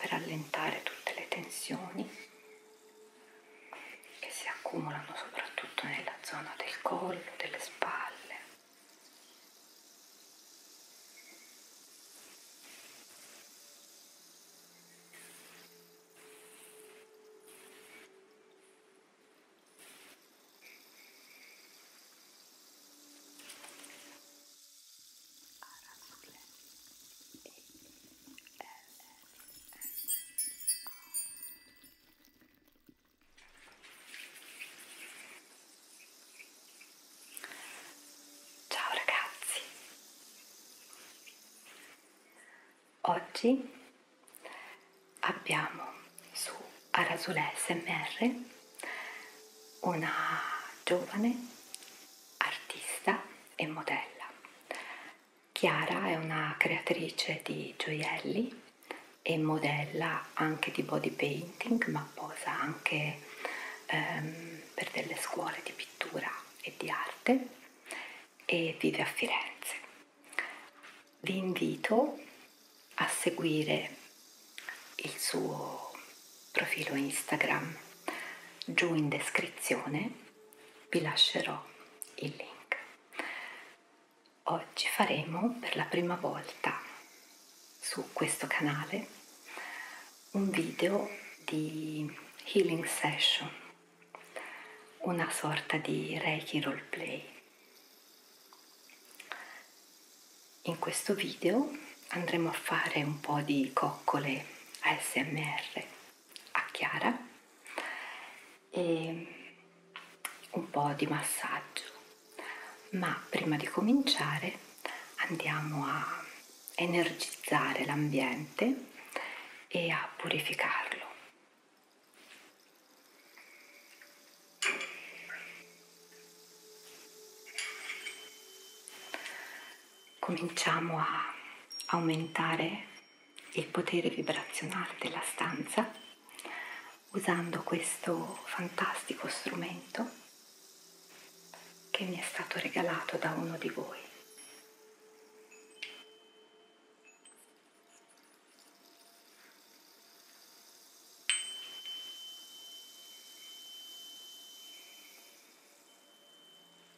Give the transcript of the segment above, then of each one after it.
per allentare tutte le tensioni che si accumulano soprattutto nella zona del collo, delle spalle. R Ciao ragazzi, oggi abbiamo su Arasule SMR una giovane artista e modella Chiara è una creatrice di gioielli e modella anche di body painting, ma posa anche ehm, per delle scuole di pittura e di arte e vive a Firenze. Vi invito a seguire il suo profilo Instagram giù in descrizione vi lascerò il link. Oggi faremo per la prima volta su questo canale un video di healing session, una sorta di Reiki roleplay. In questo video andremo a fare un po' di coccole ASMR a chiara e un po' di massaggio ma prima di cominciare andiamo a energizzare l'ambiente e a purificarlo cominciamo a aumentare il potere vibrazionale della stanza usando questo fantastico strumento che mi è stato regalato da uno di voi.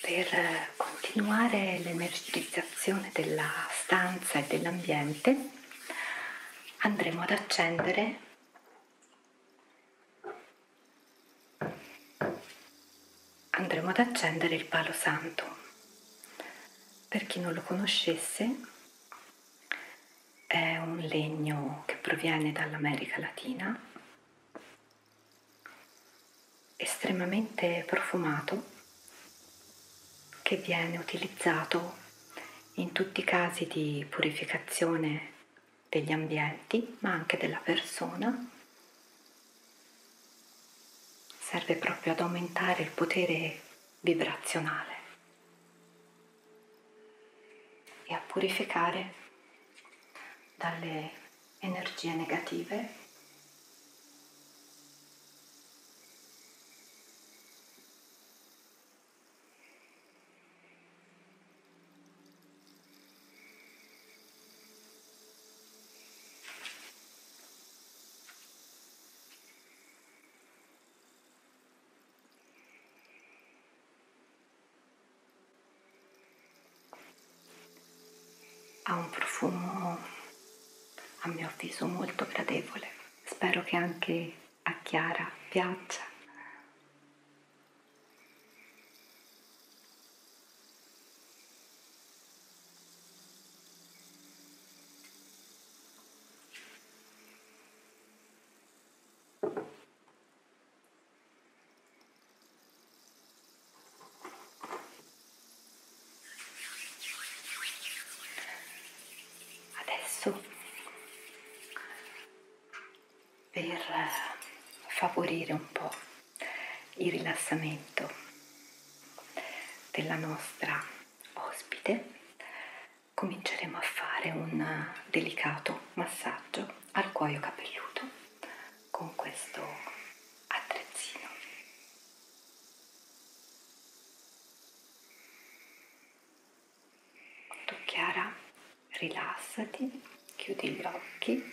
Per continuare l'energizzazione della stanza e dell'ambiente andremo ad accendere andremo ad accendere il palo santo. Per chi non lo conoscesse, è un legno che proviene dall'America Latina, estremamente profumato, che viene utilizzato in tutti i casi di purificazione degli ambienti, ma anche della persona. Serve proprio ad aumentare il potere vibrazionale e a purificare dalle energie negative ha un profumo a mio avviso molto gradevole, spero che anche a Chiara piaccia. Adesso per eh, favorire un po' il rilassamento della nostra ospite cominceremo a fare un delicato massaggio al cuoio capelluto con questo attrezzino. Tu Chiara, rilassati, chiudi gli occhi.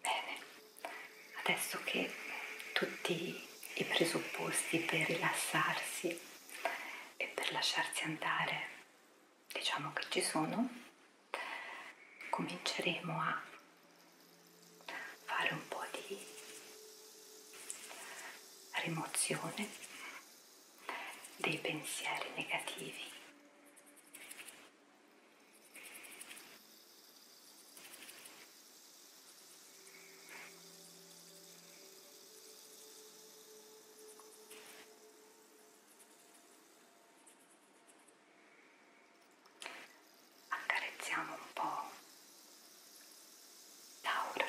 Bene, adesso che tutti i presupposti per rilassarsi e per lasciarsi andare diciamo che ci sono cominceremo a fare un po' di rimozione dei pensieri negativi Accarezziamo un po' Laura.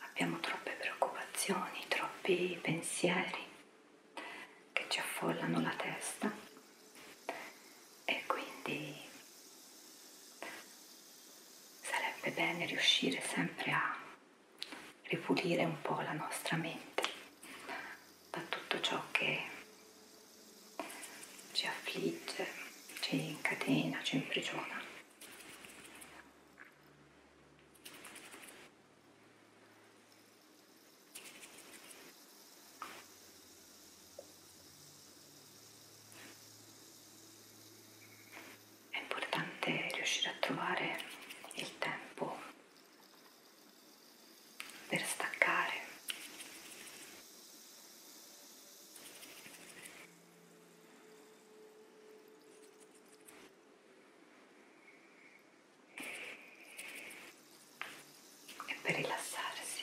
abbiamo troppe preoccupazioni, troppi pensieri che ci affollano la testa e quindi sarebbe bene riuscire sempre a ripulire un po' la nostra mente da tutto ciò che ci affligge, ci incatena, ci imprigiona. È importante riuscire a trovare il tempo per staccare e per rilassarsi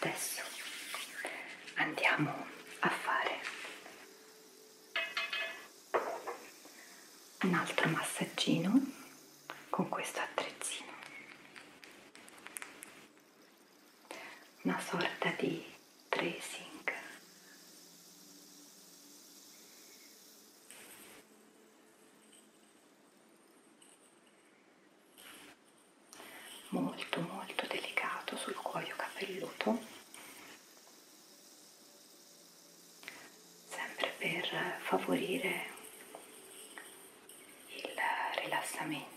Adesso andiamo a fare un altro massaggino con questo attrezzino, una sorta di tracing molto molto delicato sul cuoio capelluto sempre per favorire il rilassamento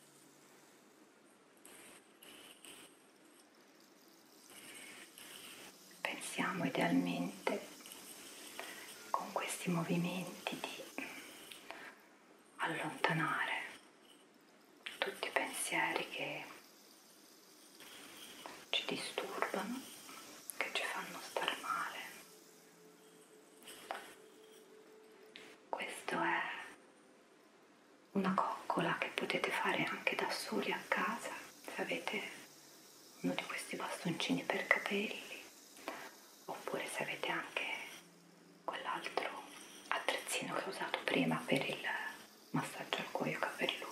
Pensiamo idealmente con questi movimenti di allontanare tutti i pensieri che ci disturbano, che ci fanno stare male questo è una coccola che potete fare anche da soli a casa se avete uno di questi bastoncini per capelli oppure se avete anche quell'altro attrezzino che ho usato prima per il massaggio al cuoio capelluto.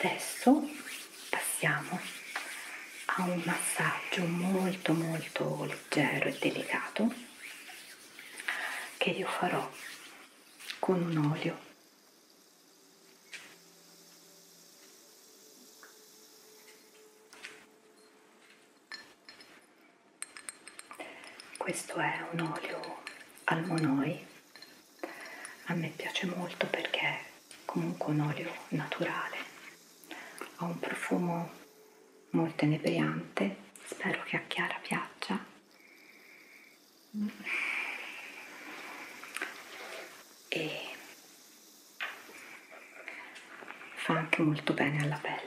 Adesso passiamo a un massaggio molto molto leggero e delicato che io farò con un olio questo è un olio al monoi a me piace molto perché è comunque un olio naturale ha un profumo molto inebriante spero che a Chiara piaccia e fa anche molto bene alla pelle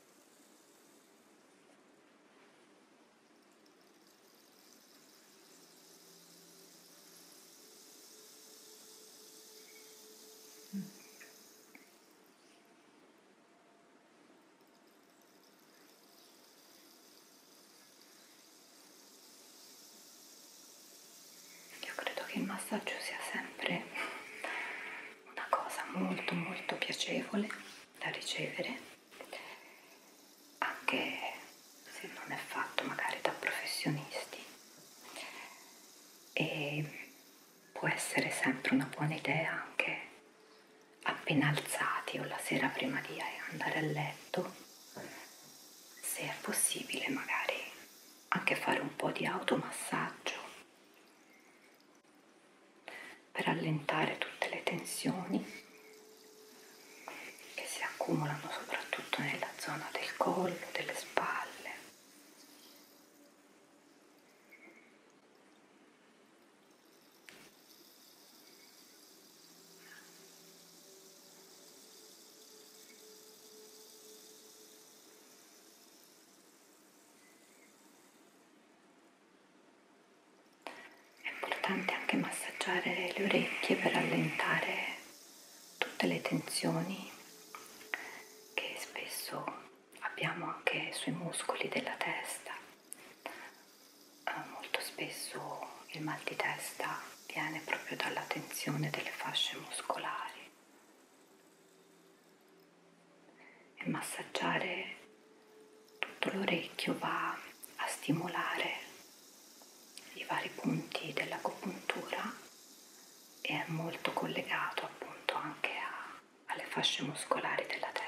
Io credo che il massaggio sia sempre una cosa molto molto piacevole da ricevere anche se non è fatto magari da professionisti e può essere sempre una buona idea anche appena alzati o la sera prima di andare a letto se è possibile magari anche fare un po' di automassaggio per allentare tutte le tensioni che si accumulano soprattutto nella zona del collo, delle spalle. È importante anche massaggiare le orecchie per allentare tutte le tensioni che spesso abbiamo anche sui muscoli della testa. Eh, molto spesso il mal di testa viene proprio dalla tensione delle fasce muscolari e massaggiare tutto l'orecchio va a stimolare i vari punti dell'agopuntura e è molto collegato appunto anche a, alle fasce muscolari della testa.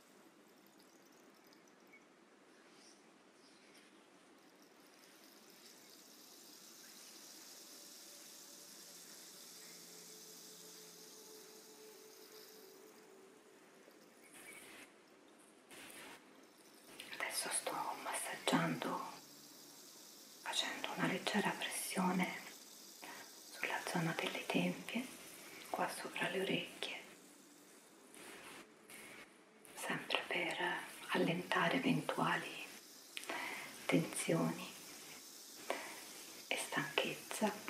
Adesso sto massaggiando facendo una leggera pressione sulla zona delle tempie, qua sopra le orecchie sempre per allentare eventuali tensioni e stanchezza.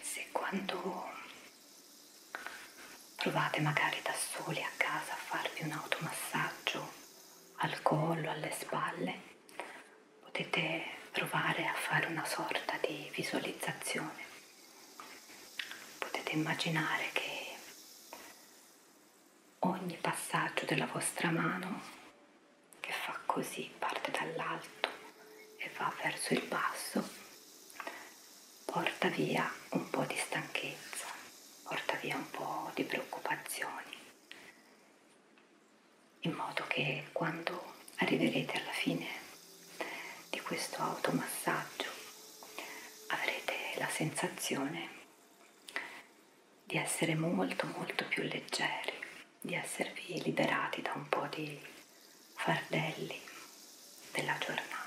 Se quando provate magari da soli a casa a farvi un automassaggio al collo, alle spalle, potete provare a fare una sorta di visualizzazione. Potete immaginare che ogni passaggio della vostra mano che fa così, parte dall'alto e va verso il basso, porta via un po' di stanchezza, porta via un po' di preoccupazioni, in modo che quando arriverete alla fine di questo automassaggio avrete la sensazione di essere molto molto più leggeri, di esservi liberati da un po' di fardelli della giornata.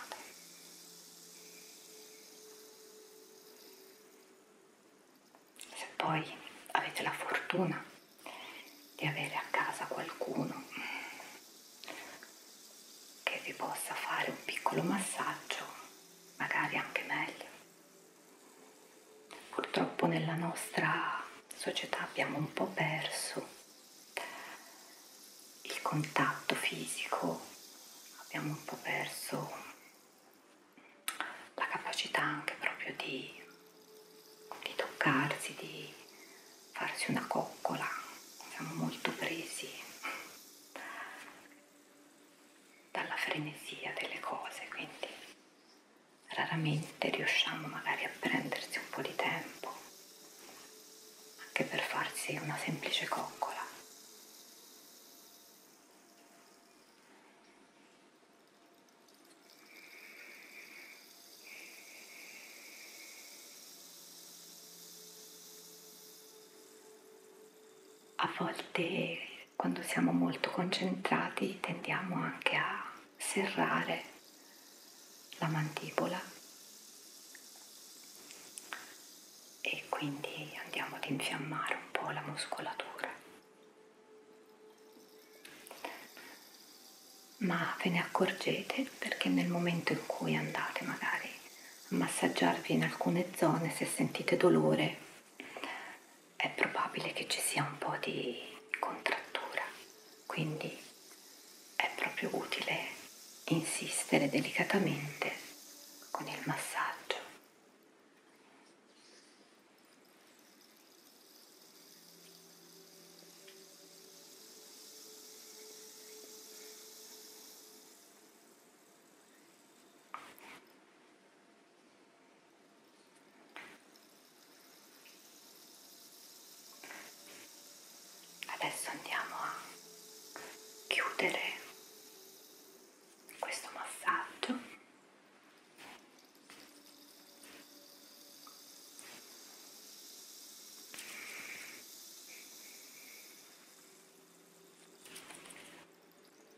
Se poi avete la fortuna di avere a casa qualcuno che vi possa fare un piccolo massaggio, magari anche meglio Purtroppo nella nostra società abbiamo un po' perso il contatto fisico, abbiamo un po' perso la capacità anche proprio di, di toccarsi, di farsi una coccola, siamo molto presi dalla frenesia delle cose, quindi raramente riusciamo magari a prendersi un po' di tempo anche per farsi una semplice coccola. A volte quando siamo molto concentrati tendiamo anche a serrare la mandibola e quindi andiamo ad infiammare un po' la muscolatura. Ma ve ne accorgete perché nel momento in cui andate magari a massaggiarvi in alcune zone, se sentite dolore, è probabile che ci sia un po' di contrattura, quindi è proprio utile insistere delicatamente con il massaggio. Adesso andiamo a chiudere questo massaggio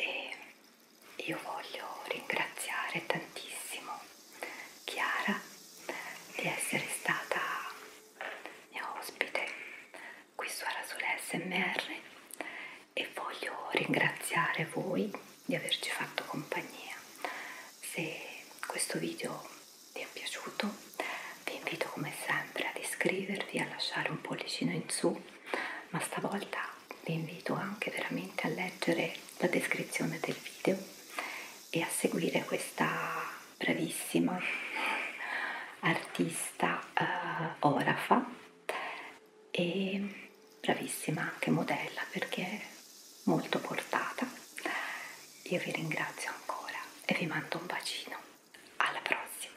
E io voglio ringraziare tantissimo Chiara di essere stata è ospite qui su Arasole SMR e voglio ringraziare voi di averci fatto compagnia. Se questo video vi è piaciuto vi invito come sempre ad iscrivervi, a lasciare un pollicino in su, ma stavolta vi invito anche veramente a leggere la descrizione del video e a seguire questa bravissima artista eh, orafa e bravissima anche modella perché è molto portata. Io vi ringrazio ancora e vi mando un bacino. Alla prossima!